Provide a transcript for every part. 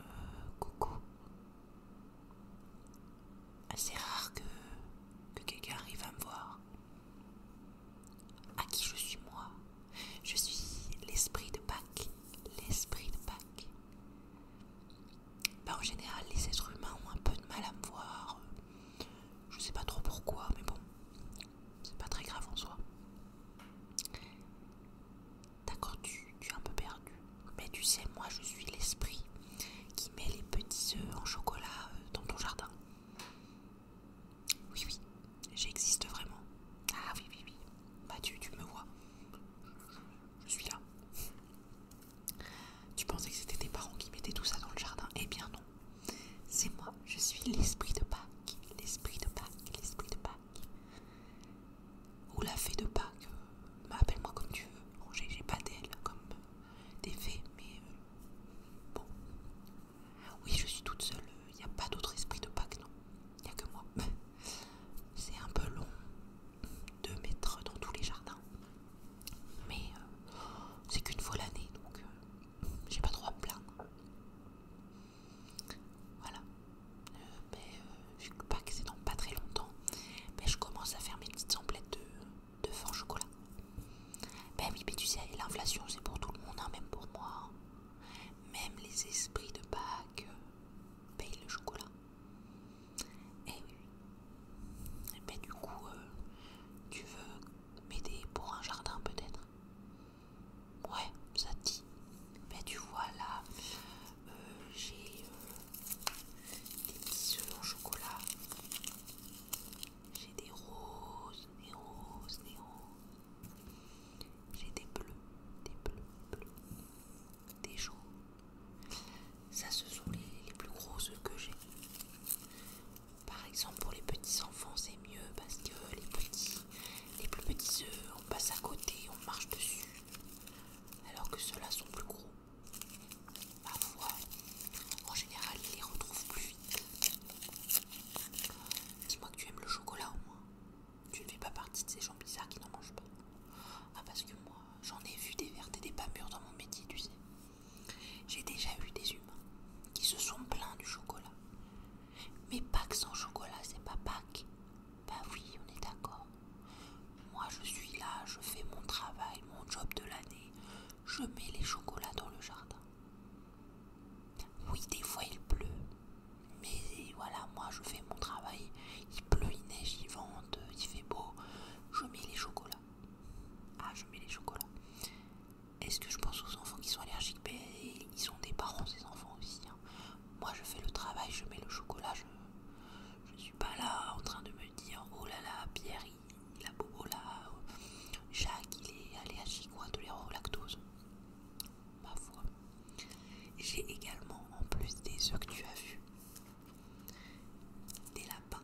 Euh, coucou. C'est rare que, quelqu'un arrive à me voir. À qui je suis moi Je suis l'esprit de Pâques. L'esprit de Pâques. Ben, en général, les êtres humains ont un peu de mal à me voir. Je sais pas trop pourquoi, mais bon, c'est pas très grave en soi. D'accord, tu, es un peu perdu. Mais tu sais, moi je suis l'esprit qui met les petits œufs en chocolat euh, dans ton jardin. Oui, oui, j'existe vraiment. Ah oui, oui, oui. Bah tu, tu me vois. Je suis là. Tu pensais que c'était tes parents qui mettaient tout ça dans le jardin Eh bien non. C'est moi, je suis l'esprit de Pâques, l'esprit de Pâques, l'esprit de Pâques. Ou la fée de Pâques, euh, appelle-moi comme tu veux. j'ai pas d'elle comme des fées, mais euh, bon. Oui, je suis toute seule, il euh, n'y a pas d'autre esprit de Pâques, non. Il n'y a que moi. C'est un peu long de mettre dans tous les jardins. Mais c'est qu'une fois l'année, donc j'ai pas trop à plaindre. Voilà. vu que Pâques c'est dans pas très longtemps, mais je commence à faire mes petites emplettes de, de fort chocolat. Ben oui, tu sais, l'inflation c'est pour tout le monde, hein, même pour moi. Hein. Même les esprits de Pâques euh, payent le chocolat. Et eh oui. Eh ben, du coup, euh, tu veux mais pour un jardin peut-être Ouais, ça te dit. Mais ben, tu vois là, euh, j'ai euh, des petits oeufs au chocolat. J'ai des roses, des roses, des roses. J'ai des bleus, des bleus, bleus, des jaunes. Ça, ce sont les, plus grosses que j'ai. Par exemple, pour les petits enfants, c'est mieux parce que les petits, les plus petits œufs, on passe à côté, on marche dessus, alors que ceux-là sont plus gros. Parfois, en général, ils les retrouvent plus vite. Dis-moi que tu aimes le chocolat au moins. Tu ne fais pas partie de ces gens bizarres qui n'en mangent pas. Ah, parce que moi, j'en ai vu des vertes et des pas mûres dans mon métier, tu sais. J'ai déjà eu des humains qui se sont plaints du chocolat. Mais Pâques sans chocolat, c'est pas Pâques. Bah oui, on est d'accord. Moi je suis là, je fais mon travail, mon job de l'année. Je mets les chocolats dans le jardin. Oui, des fois il pleut. Mais voilà, moi je fais mon travail. Il pleut, il neige, il vente, il fait beau. Je mets les chocolats. Ah, je mets les chocolats. Est-ce que je pense aux enfants qui sont allergiques Mais ben, Ils sont des parents, ces enfants aussi. Hein. Moi, je fais le travail, je mets le chocolat. Je ne suis pas là en train de me dire oh là là, Pierre, il, a beau oh là. Jacques, il est allergique quoi de au lactose. Ma foi. J'ai également, en plus des œufs que tu as vus, des lapins.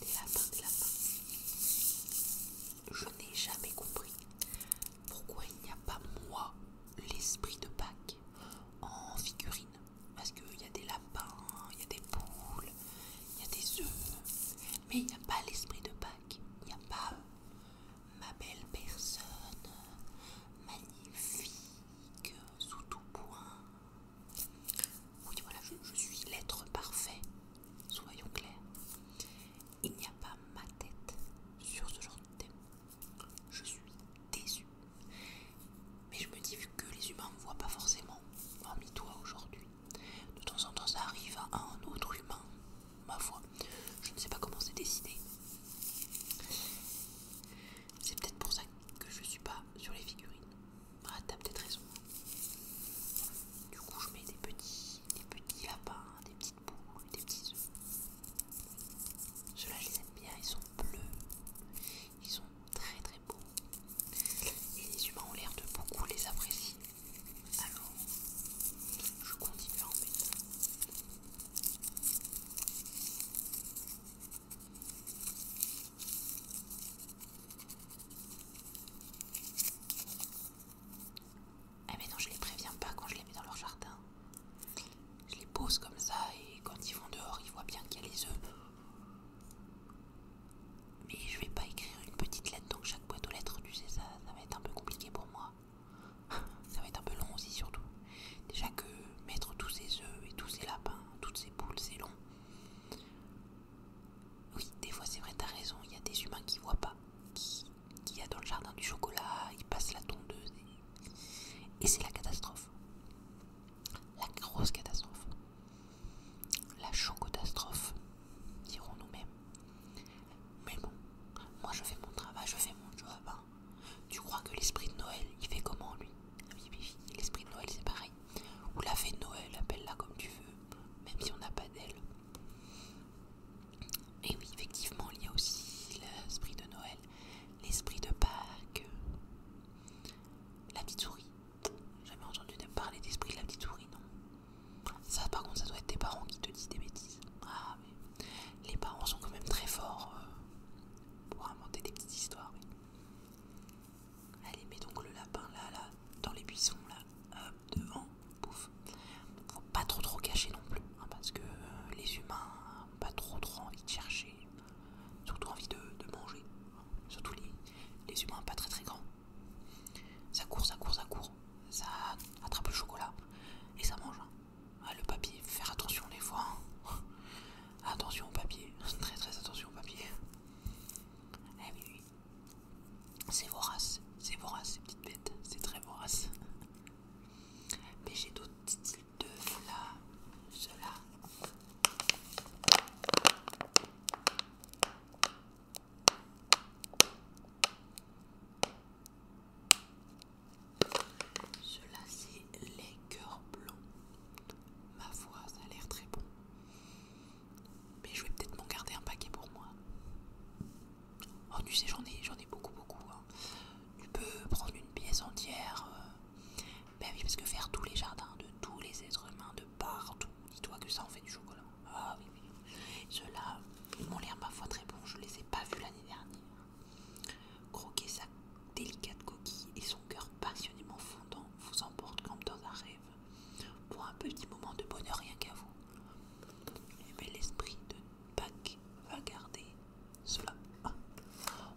Des lapins, des lapins. Je n'ai jamais compris pourquoi il n'y a pas moi l'esprit de Pâques en figurine. Parce qu'il y a des lapins, il y a des poules, il y a des œufs. Mais il n'y a pas l'esprit de Pâques. Il n'y a pas euh, ma belle personne magnifique sous tout point. Oui, voilà, je, suis l'être parfait, soyons clairs. Il n'y a pas ma tête sur ce genre de thème. Je suis déçu, Mais je me dis, que les humains ne me voient pas forcément, hormis toi aujourd'hui, de temps en temps ça arrive à un autre humain, ma foi. Je ne sais pas comment c'est décidé. C'est peut-être pour ça que je ne suis pas sur les figurines. Ah, tu as peut-être raison. Du coup, je mets des petits, des lapins, des petites boules, des petits oeufs, Ceux-là, je les aime bien, ils sont bleus. Ils sont très très beaux. Et les humains ont l'air de beaucoup les apprécier. Alors, je continue à en mettre. Ah mais non, je les préviens pas quand je les mets dans leur jardin. Je les pose comme ça et quand ils vont dehors, ils voient bien qu'il y a les œufs. Mais je vais pas écrire une petite lettre donc chaque boîte aux lettres, tu sais ça, ça va être un peu compliqué pour moi. ça va être un peu long aussi surtout. Déjà que mettre tous ces œufs et tous ces lapins, toutes ces poules, c'est long. Oui, des fois c'est vrai, t'as raison, il y a des humains qui voient pas, qui, qui a dans le jardin du chocolat, ils passent la tondeuse et, c'est la catastrophe. La grosse catastrophe. La chocotastrophe, dirons nous-mêmes. Mais bon, moi je fais mon travail, je fais mon job. Hein. Tu crois que l'esprit de Noël, il fait comment lui L'esprit de Noël, c'est pareil. Ou la fée de Noël, appelle-la comme tu veux, même si on n'a pas d'elle. Et oui, effectivement, il y a aussi l'esprit de Noël, l'esprit de Pâques, la petite souris. Jamais entendu parler d'esprit de la petite souris, non Ça, par contre, ça doit être tes parents qui te disent des bêtises. Ah, mais les parents sont quand même très forts euh, pour inventer des petites histoires. Allez, mets donc le lapin là, là, dans les buissons là, devant, pouf. Faut pas trop trop cacher non plus, hein, parce que euh, les humains pas trop trop envie de chercher, surtout envie de, manger, hein. surtout les, humains pas très très grands. Ça court, ça court, ça court, ça attrape le chocolat et ça mange. Hein. Ah, le papier, faire attention des fois. Attention au papier, très très attention au papier. Eh oui, C'est vorace, c'est vorace ces petites bêtes, c'est très vorace. Mais j'ai d'autres types de là, cela. Cela c'est les cœurs blancs. Ma foi, ça a l'air très bon. Mais je vais peut-être m'en garder un paquet pour moi. Oh, tu sais, j'en ai, j'en beaucoup, beaucoup. Hein. Tu peux prendre une pièce entière. Euh. Ben oui, parce que faire tous les jardins de tous les êtres humains de partout, dis-toi que ça en fait du chocolat. Ah oui, oui. Ceux-là, ils m'ont l'air foi, très bons. Je les ai pas vus l'année dernière. Croquer sa délicate coquille et son cœur passionnément fondant vous emporte comme dans un rêve, pour un petit moment de bonheur rien qu'à vous. Mais eh l'esprit de Pâques va garder cela. Ah.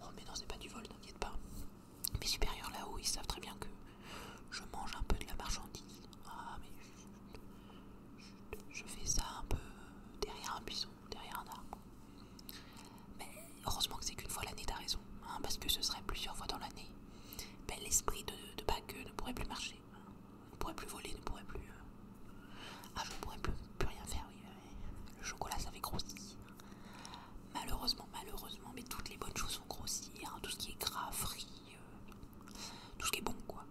Oh mais non, c'est pas du vol, n'inquiète pas. Mes supérieurs là-haut, ils savent très bien que je mange un peu de la marchandise. Ah mais je, je fais ça un peu derrière un buisson, derrière un arbre. Mais heureusement que c'est qu'une fois l'année, t'as raison, hein, parce que ce serait plusieurs fois dans l'année. Ben, l'esprit de, Pâques euh, ne pourrait plus marcher, ne pourrait plus voler, ne pourrait plus. Euh, ah, je ne pourrais plus, rien faire, oui. le chocolat, ça fait grossi. Malheureusement, malheureusement, mais toutes les bonnes choses sont grossies, hein, tout ce qui est gras, frit, euh, tout ce qui est bon, quoi.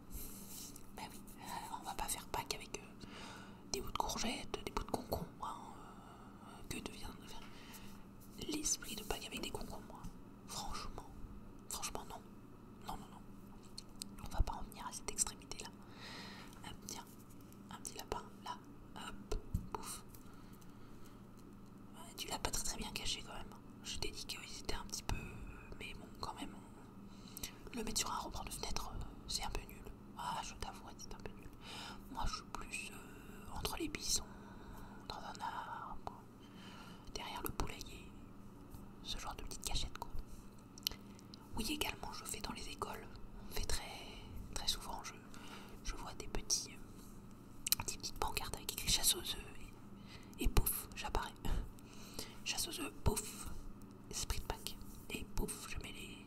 mais ben oui, on va pas faire Pâques avec eux des bouts de courgettes, des bouts de concombres. Hein, euh, que devient l'esprit de y avec des concombres hein. Franchement, franchement non. Non, non, non. On va pas en venir à cette extrémité-là. tiens, un petit lapin, là. Hop, bouffe. tu l'as pas très très bien caché quand même. Je t'ai dit qu'ils étaient un petit peu... Euh, mais bon, quand même, le mettre sur un rebord de fenêtre, euh, c'est un peu nul. Ah, je t'avoue, c'est un peu nul. Moi, je suis plus euh, entre les bisons, dans un arbre, derrière le poulailler, ce genre de petite cachette, quoi. Oui, également, je fais dans les écoles. On fait très, très souvent, je, je vois des petits, euh, des petites pancartes avec écrit chasse aux œufs et, pouf, j'apparais. Chasse aux œufs, pouf, esprit de Et pouf, je mets les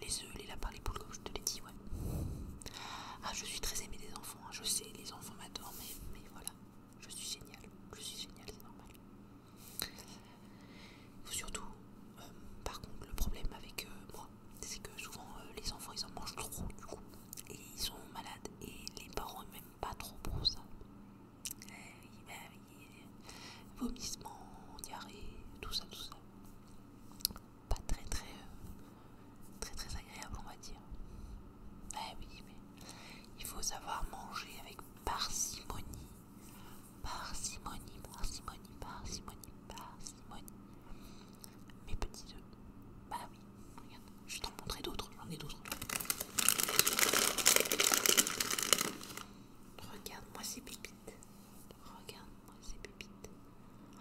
les, oeufs, œufs, les lapins, les poules, comme je te l'ai dit, ouais. Ah, je suis très aimée des enfants, hein. je sais, les enfants m'adorent, mais, voilà, je suis géniale, je suis géniale, c'est normal. surtout, euh, par contre, le problème avec euh, moi, c'est que souvent euh, les enfants ils en mangent trop du coup, et ils sont malades, et les parents n'aiment pas trop pour ça. Eh, eh, vomissements, diarrhée, tout ça, tout ça. Pas très très euh, très très agréable on va dire. Eh oui, mais il faut savoir manger avec parcimonie. Parcimonie, parcimonie, parcimonie, parcimonie. Mes petits œufs. Bah oui, regarde, je vais t'en montrer d'autres, j'en ai d'autres. Regarde-moi ces pépites. Regarde-moi ces pépites.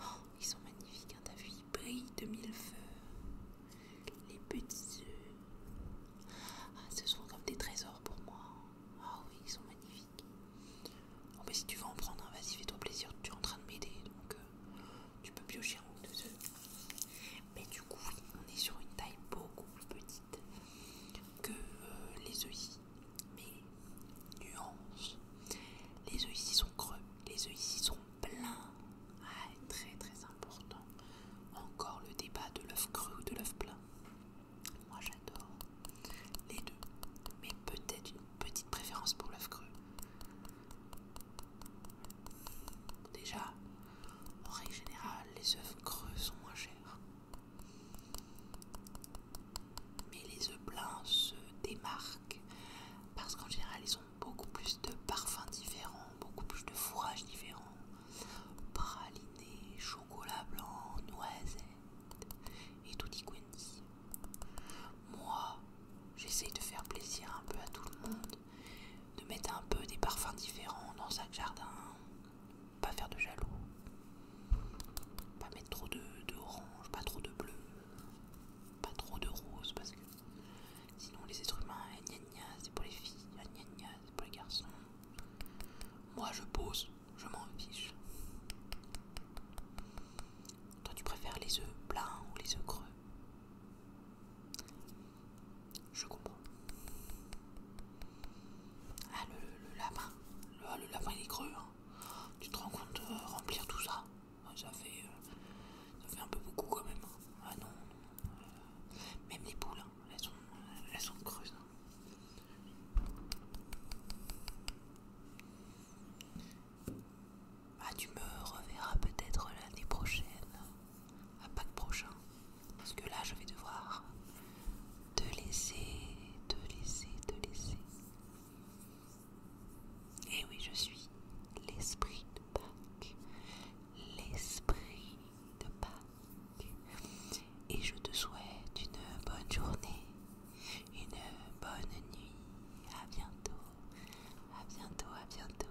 Oh, ils sont magnifiques, Un hein, t'as vu, ils de mille feux. Les petits œufs. Ah, ce sont comme des trésors pour moi. Ah oui, ils sont magnifiques. Oh, si tu veux en prendre un, vas-y, fais-toi plaisir, tu es en train de m'aider, donc euh, tu peux piocher un ou deux œufs. Mais du coup, on est sur une taille beaucoup plus petite que euh, les les ici. Mais nuance, les ici sont creux, les ici sont pleins. Ah, très très important. Encore le débat de l'œuf creux ou de l'œuf plein. Moi j'adore les deux, mais peut-être une petite préférence pour l'œuf creux. Déjà, en règle générale, les œufs creux sont moins chers. Mais les œufs pleins se démarquent parce qu'en général ils ont beaucoup plus de parfums différents, beaucoup plus de fourrages différents. Praliné, chocolat blanc, noisette et tout quanti. Moi, j'essaye de faire plaisir un peu à tout le monde, de mettre un peu des parfums différents dans chaque jardin. Pas faire de jaloux. Pas mettre trop de, orange, pas trop de bleu, pas trop de rose parce que sinon les êtres humains, c'est pour les filles, nia c'est pour les garçons. Moi je pose, je m'en fiche. Toi tu préfères les œufs blancs ou les œufs creux Je comprends. Ah, le, lapin. Ah, le, lapin, il est creux. Hein. Tu te rends compte de euh, remplir tout ça ah, euh, ça fait, un peu beaucoup quand même. Hein. Ah non. Euh, même les poules, hein, elles, sont, creuses. Ah, tu me reverras peut-être l'année prochaine, à Pâques prochain. Parce que là, je vais devoir te laisser, te laisser, te laisser. Et eh oui, je suis l'esprit de Pâques. L'esprit de Pâques. Et je te souhaite une bonne journée, une bonne nuit. À bientôt, à bientôt, à bientôt.